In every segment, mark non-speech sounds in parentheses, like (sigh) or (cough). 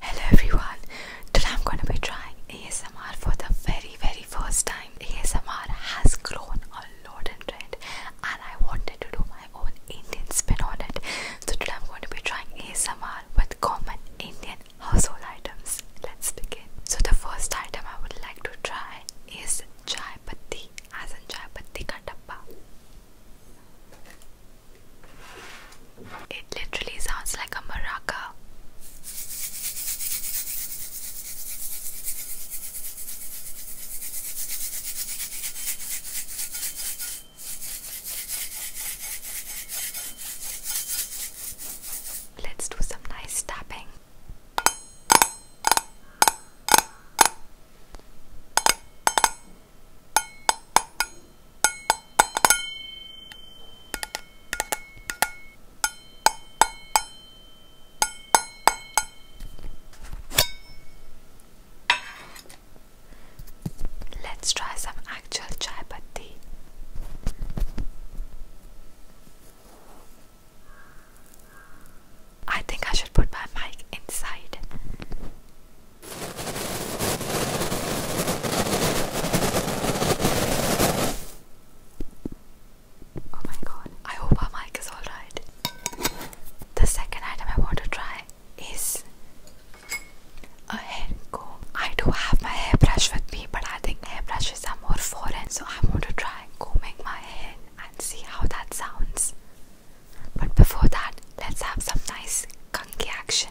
Hello everyone, today I'm going to be trying ASMR for the very very first time. ASMR has grown a lot in trend and I wanted to do my own Indian spin on it. So today I'm going to be trying ASMR with common Indian household items. Let's begin. So the first item I would like to try is chai patti as in chai patti ka tappa. It literally sounds like a maraca. Let's do some nice tapping. Let's try some actual chai patti. I think I should put my mic inside. Oh my god, I hope our mic is alright. The second item I want to try is a hair comb. I do have my hairbrush with me, but I think hairbrushes are more foreign, so I want to try combing my hair and see how that sounds. But before that, let's have some nice kunky action.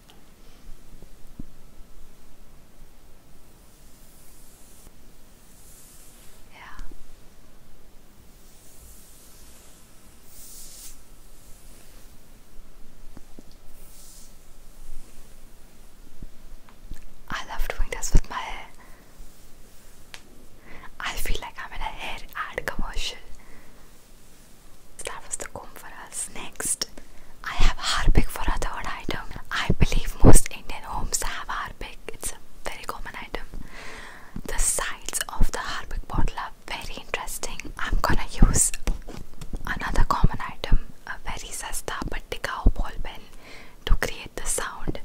Yeah. I love doing this with my hair. I feel like I'm in a hair ad commercial. So that was the comb for us. Next, I have harpic for a item. I believe most Indian homes have harpic. It's a very common item. The sides of the harpic bottle are very interesting. I'm gonna use another common item, a very sasta but tikao ball pen, to create the sound.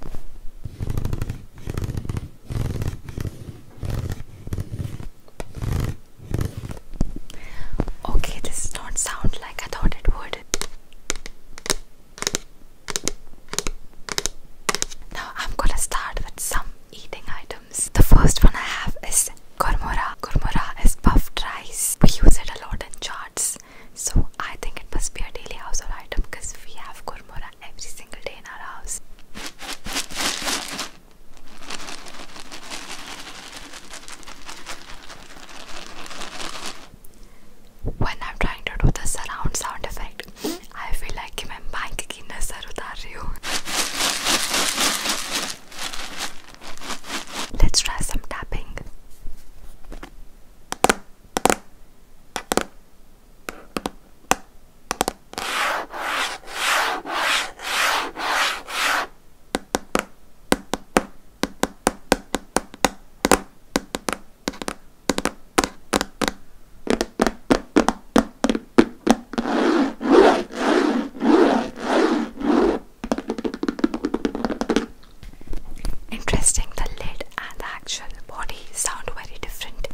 Okay, this does not sound like I thought it would. Now I'm gonna start with some eating items. The first one I have is kormora. Kormora is puffed rice. We use it a lot in charts, so I think it must be a daily household item because we have kormora every single day in our house. When I'm trying to do the surround sound effect, I feel like I'm bike ki nazar Let's try some tapping. Interesting, the lid and the actual body sound very different.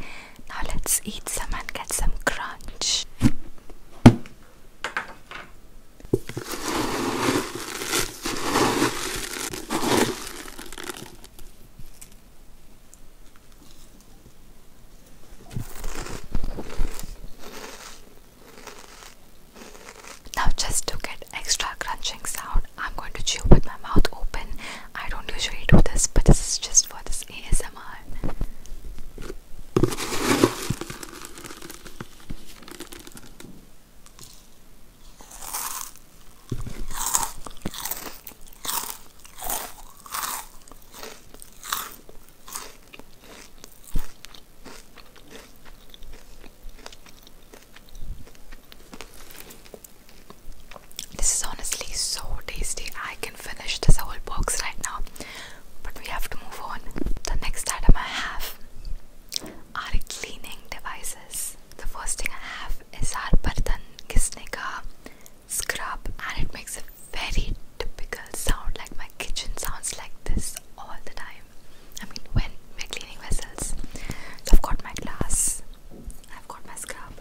Now let's eat some and get some crunch. Now, just to get extra crunching sound, I'm going to chew with my mouth open. I don't usually do this, but this is just for this ASMR. This is honestly so tasty. I can finish this whole box right now, but we have to move on. The next item I have are cleaning devices. The first thing I have is our Bartan Kisneka scrub, and it makes a very typical sound like my kitchen sounds like this all the time. I mean, when we're cleaning vessels. So, I've got my glass, I've got my scrub.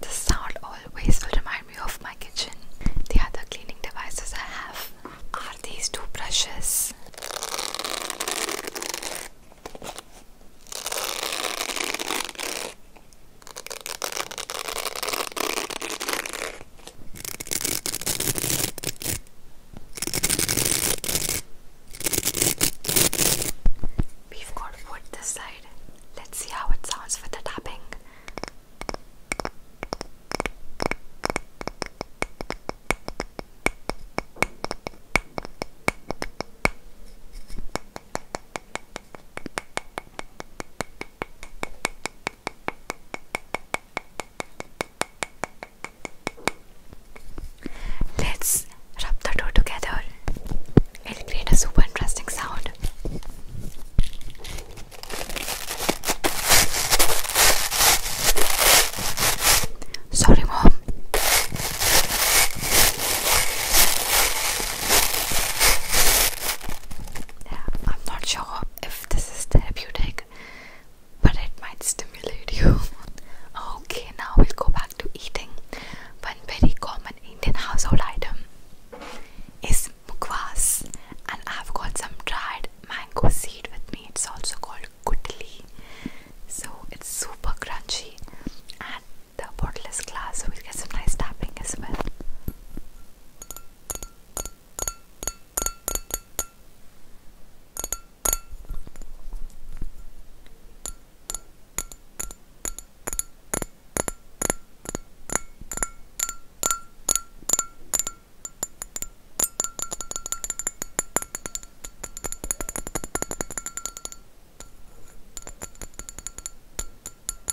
The sound always will remind me of my kitchen. The other cleaning devices I have are these two brushes. We've got wood this side. Let's see how it sounds with the tapping. Let's rub the two together. It'll create a super interesting sound. Sorry, Mom. Yeah, I'm not sure if this is therapeutic, but it might stimulate you. (laughs) okay, now we'll go back to eating. One very common Indian household item is mukwas, and I've got some dried mango seed with me. It's also called kutli, so it's super crunchy the portless glass, so we get some nice tapping as well.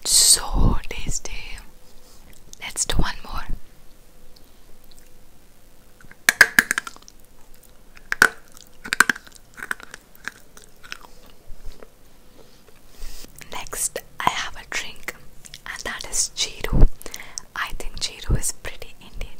It's so tasty. Let's do one more. Next, I have a drink, and that is Jeeru. I think Jeeru is pretty Indian.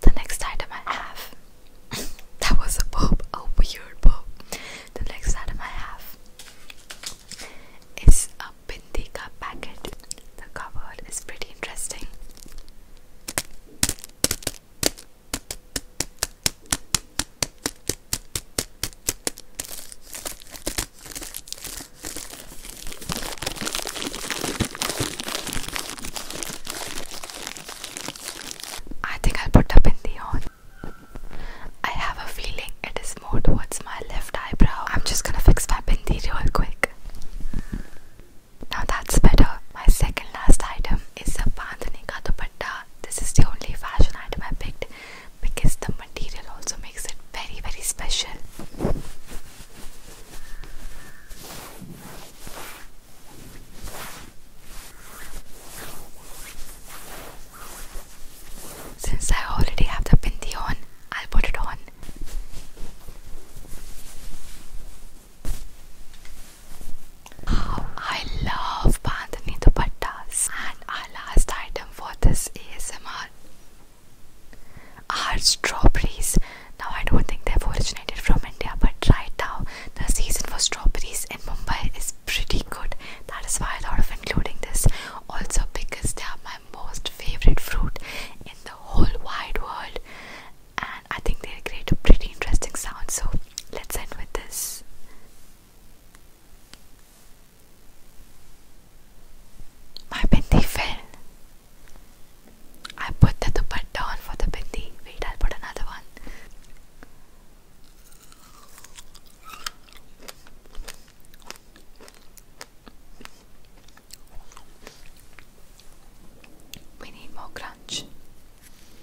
The next item I have (laughs) that was a pop, a weird book. The next item I have is a Bindika packet. The cupboard is pretty interesting. I think I'll put up in the on. I have a feeling it is more towards my left eyebrow. I'm just gonna fix my bindi real quick. Now that's better. My second last item is a bandhani ka dupatta. This is the only fashion item I picked because the material also makes it very very special. Since I already have the bindi on, i put it on. I love Bandhani dupattas and our last item for this is ASMR are strawberries. Now I don't think they've originated from India but right now the season for strawberries in Mumbai is pretty good. That is why I thought of including this also because they are my most favorite fruit in the whole wide world and I think they create a pretty interesting sound so let's end with this. My bindi fell. I put the dupatta down for the bindi. Wait, will put another one. We need more crunch.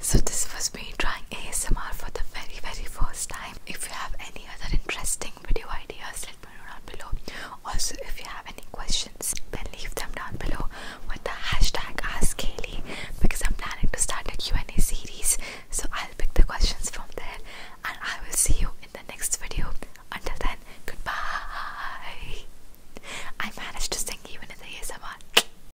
So this was me trying ASMR for the very very first time. If you have any other interesting video ideas, let me know down below. Also, if you have any questions, then leave them down below with the hashtag Ask AskKaylee because I'm planning to start a Q&A series. So I'll pick the questions from there, and I will see you in the next video. Until then, goodbye. I managed to sing even in the ASMR.